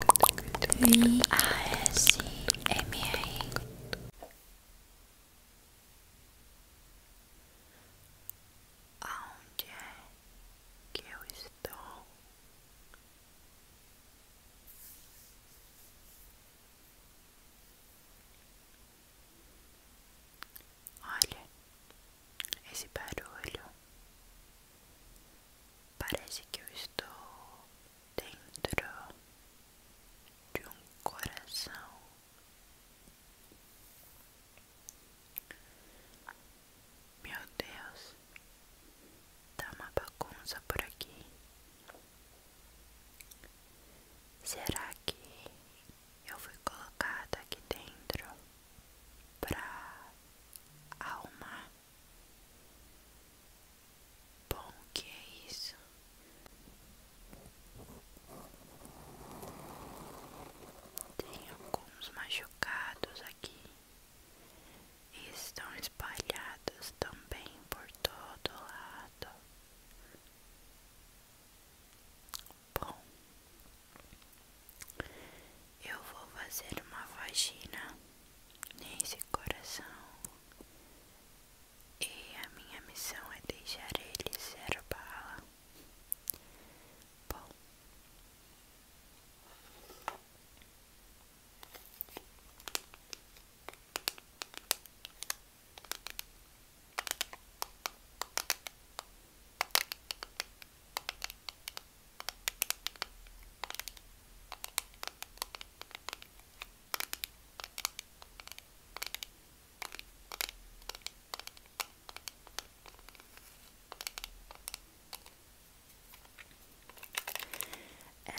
I S M A Onde é que eu estou? Olha esse barulho Parece que eu estou dentro de um coração. Meu Deus, dá tá uma bagunça por aqui. Será que eu fui colocada aqui dentro pra alma? Bom, o que é isso? Tem alguns machucados aqui e estão espalhados também por todo lado. Bom, eu vou fazer uma vagina nesse coração e a minha missão é deixar ele ser bala. Bom.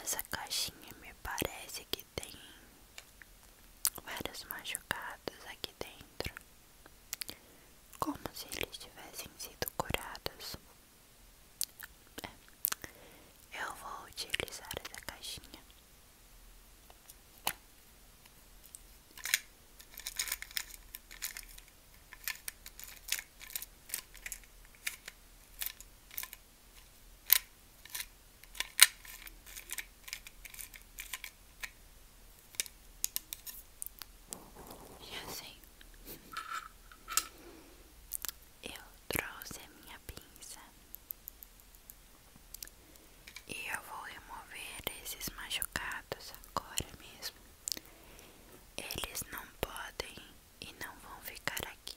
Essa caixinha me parece que tem vários machucados aqui dentro como se eles tivessem sido curados. É. Eu vou utilizar essa caixinha. E assim, eu trouxe a minha pinça e eu vou remover esses machucados agora mesmo. Eles não podem e não vão ficar aqui.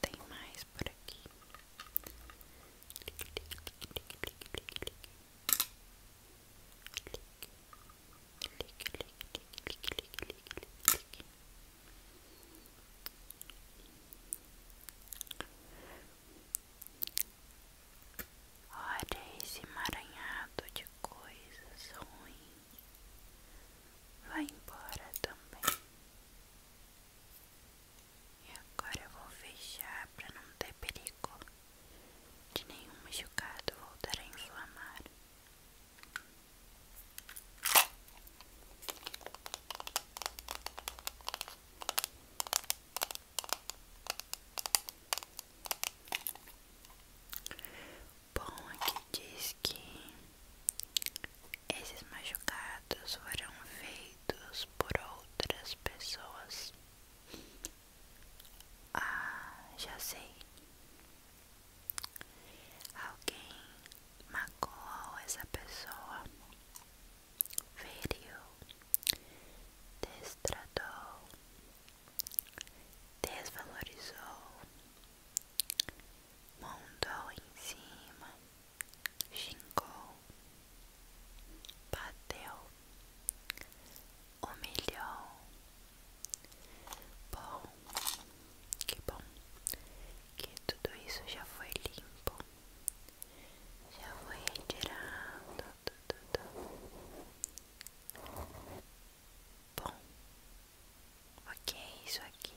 Tem mais por aqui. Olha esse emaranhado de coisas ruins. Vai embora também. E agora eu vou fechar para não ter perigo de nenhum machucado voltar a inflamar. Bom, aqui diz que esses machucados foram feitos por outras pessoas. Ah, já sei. Alguém magoou essa pessoa, feriu, destratou, desvalorizou, Mandou em cima, xingou, bateu, humilhou. Bom, que bom que tudo isso já foi limpo, já foi retirado. Bom, o que é isso aqui?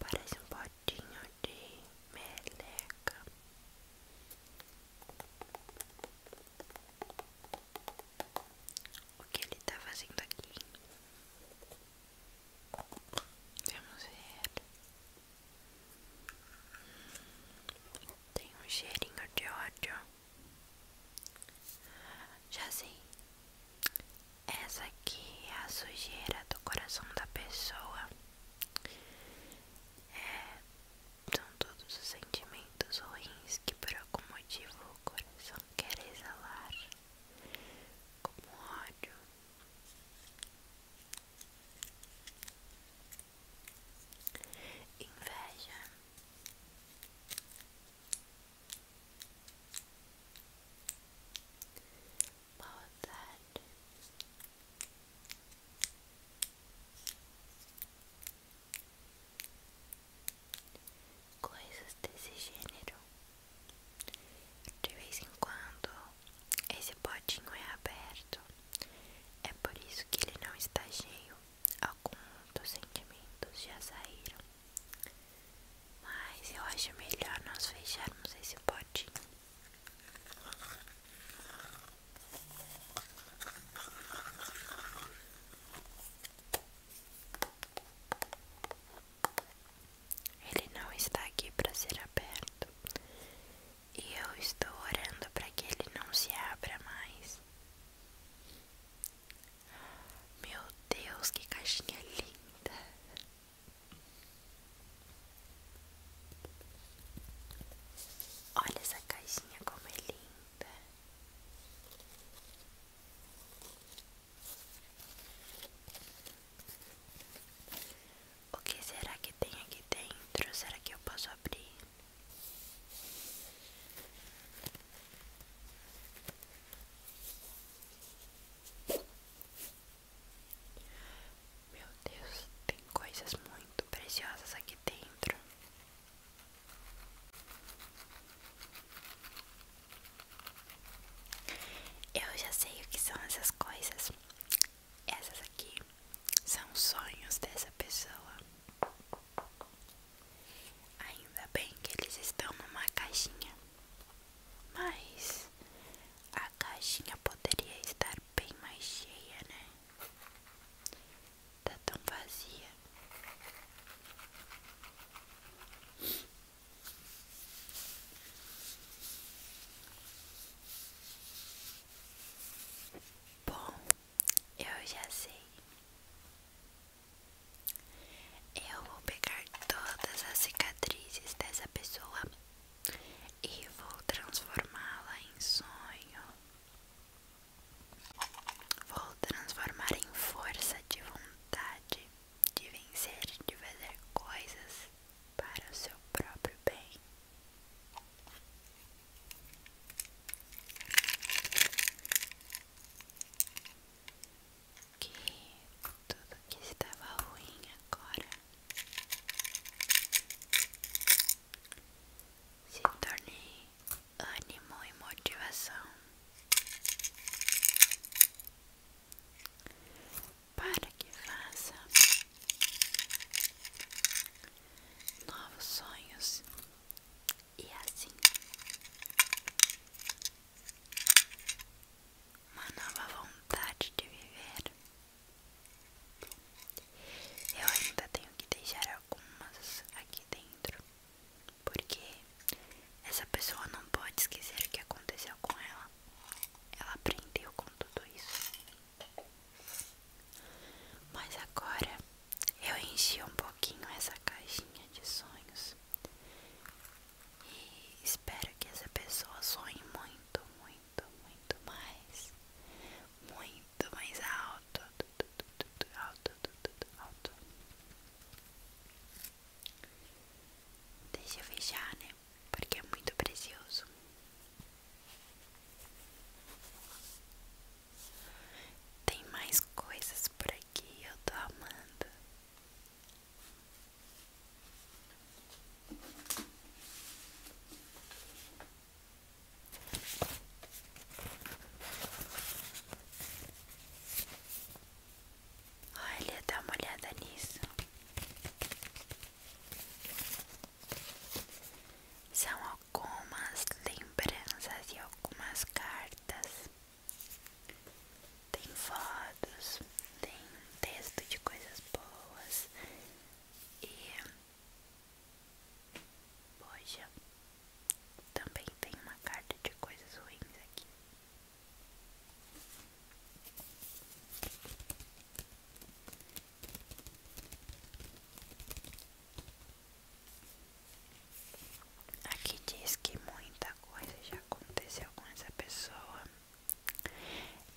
Parece um potinho de meleca o que ele tá fazendo aqui. Vamos ver. Tem um cheirinho de ódio. Já sei. Essa aqui é a sujeira do coração da pessoa. É, são todos os sentimentos ruins que por algum motivo o coração quer exalar como ódio. Inveja Maldade coisas desse gênero. De vez em quando, esse potinho é aberto, é por isso que ele não está cheio. Alguns dos sentimentos já saíram, mas eu acho melhor nós fecharmos esse potinho. Ele não está aqui para ser aberto, e eu estou orando para que ele não se abra mais. Meu Deus, que caixinha linda! Olha essa caixinha como é linda. O que será que tem aqui dentro? Será que eu posso abrir? Meu Deus, tem coisas muito preciosas aqui dentro. Eu já sei o que são essas coisas. Essas aqui são sonhos dessa pessoa. Ainda bem que eles estão numa caixinha. Mas a caixinha poderia estar bem mais cheia, né? tá tão vazia. Bom, eu já sei. Eu vou pegar todas as cicatrizes dessa pessoa e vou transformá-la em sonho. Vou transformar em força de vontade de vencer, de fazer coisas para o seu próprio bem. Que tudo que estava ruim agora se tornem ânimo e motivação para que faça novos sonhos e assim uma nova vontade de viver. Eu ainda tenho que deixar algumas aqui dentro, porque essa pessoa não pode esquecer o que aconteceu com ela. Ela aprendeu com tudo isso. Mas agora eu enchi um pouquinho essa caixinha de sonhos. E espero que essa pessoa sonhe muito, muito muito, mais, muito mais alto, alto, alto, alto. Deixa eu fechar, né? Porque é muito precioso. Tem mais coisas por aqui, eu tô amando. Olha, dá uma olhada nisso. São algumas lembranças e algumas cartas. Tem fotos, tem texto de coisas boas, e poxa, também tem uma carta de coisas ruins aqui. Aqui diz que muita coisa já aconteceu com essa pessoa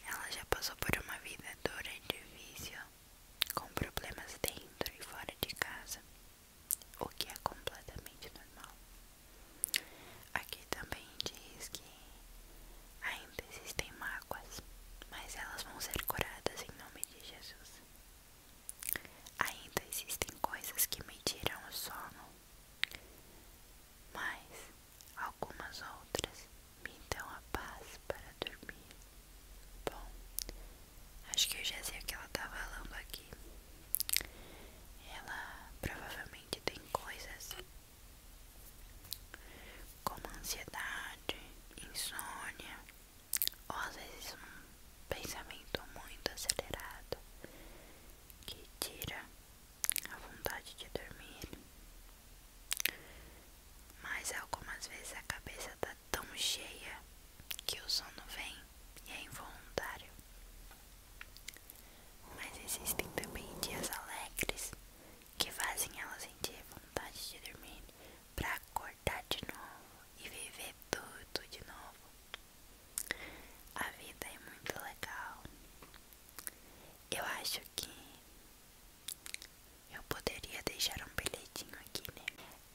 ela já passou por uma vida dura e difícil, com problemas dentro e fora de casa, o que é completamente normal. Aqui também diz que ainda existem mágoas, mas elas vão ser curadas em nome de Jesus. Ainda existem coisas que me o sono, mas Algumas outras me dão a paz para dormir. Bom, acho que eu já sei o que ela tá falando aqui. Ela provavelmente tem coisas como ansiedade, insônia, ou às vezes um pensamento muito acelerado que tira a vontade de dormir, mas algumas é vezes a cabeça tá tão cheia que o sono vem e é involuntário. Mas existem também dias alegres que fazem ela sentir vontade de dormir para acordar de novo e viver tudo de novo. A vida é muito legal eu acho que eu poderia deixar um bilhetinho aqui, né?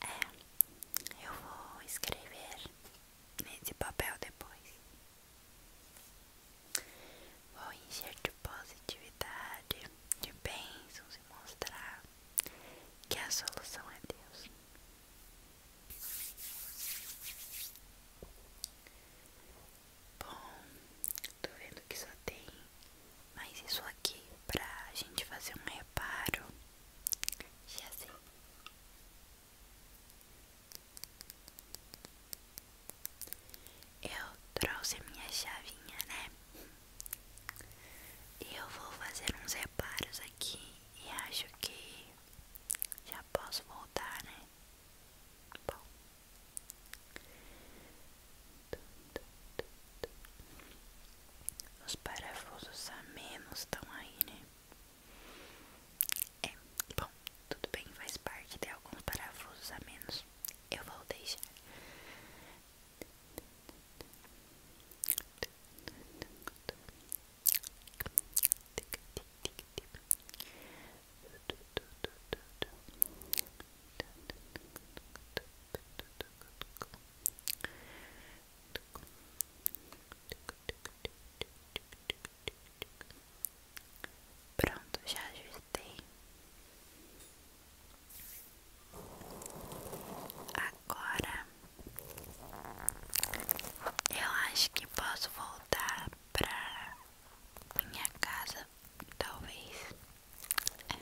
É, eu vou escrever nesse papel depois. Vou encher de positividade, de bênçãos e mostrar que a solução é Deus. Bom, tô vendo que só tem mais isso aqui pra gente fazer um reparo. Já sei. Assim. Eu trouxe minha chavinha, né? E eu vou fazer uns reparos aqui e acho que já posso voltar, né? Tá Os parafusos a menos estão aí, né? É, bom, tudo bem, faz parte de alguns parafusos a menos. Eu vou deixar. Pronto, já ajustei. Agora eu acho que posso voltar comprar minha casa, talvez. É.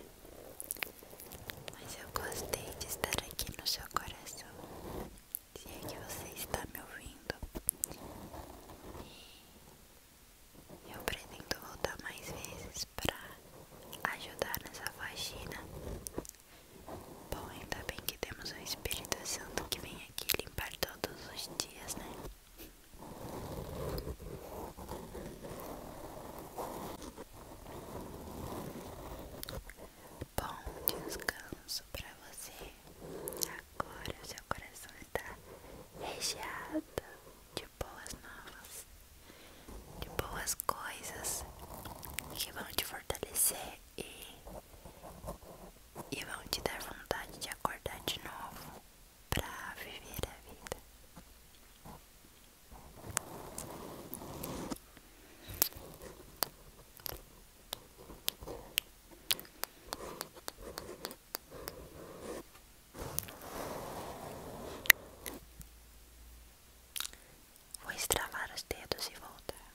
Mas eu gostei de estar aqui no seu coração. e é que você está me ouvindo. E eu pretendo voltar mais vezes para ajudar nessa vagina Bom, ainda bem que temos um Espírito Santo que vem tinha que limpar todos os dias, né? Bom descanso para você. Agora o seu coração está recheado de boas novas, de boas coisas que vão te fortalecer e e vão te dar vontade de acordar de novo para viver a vida. Vou estravar os dedos e voltar.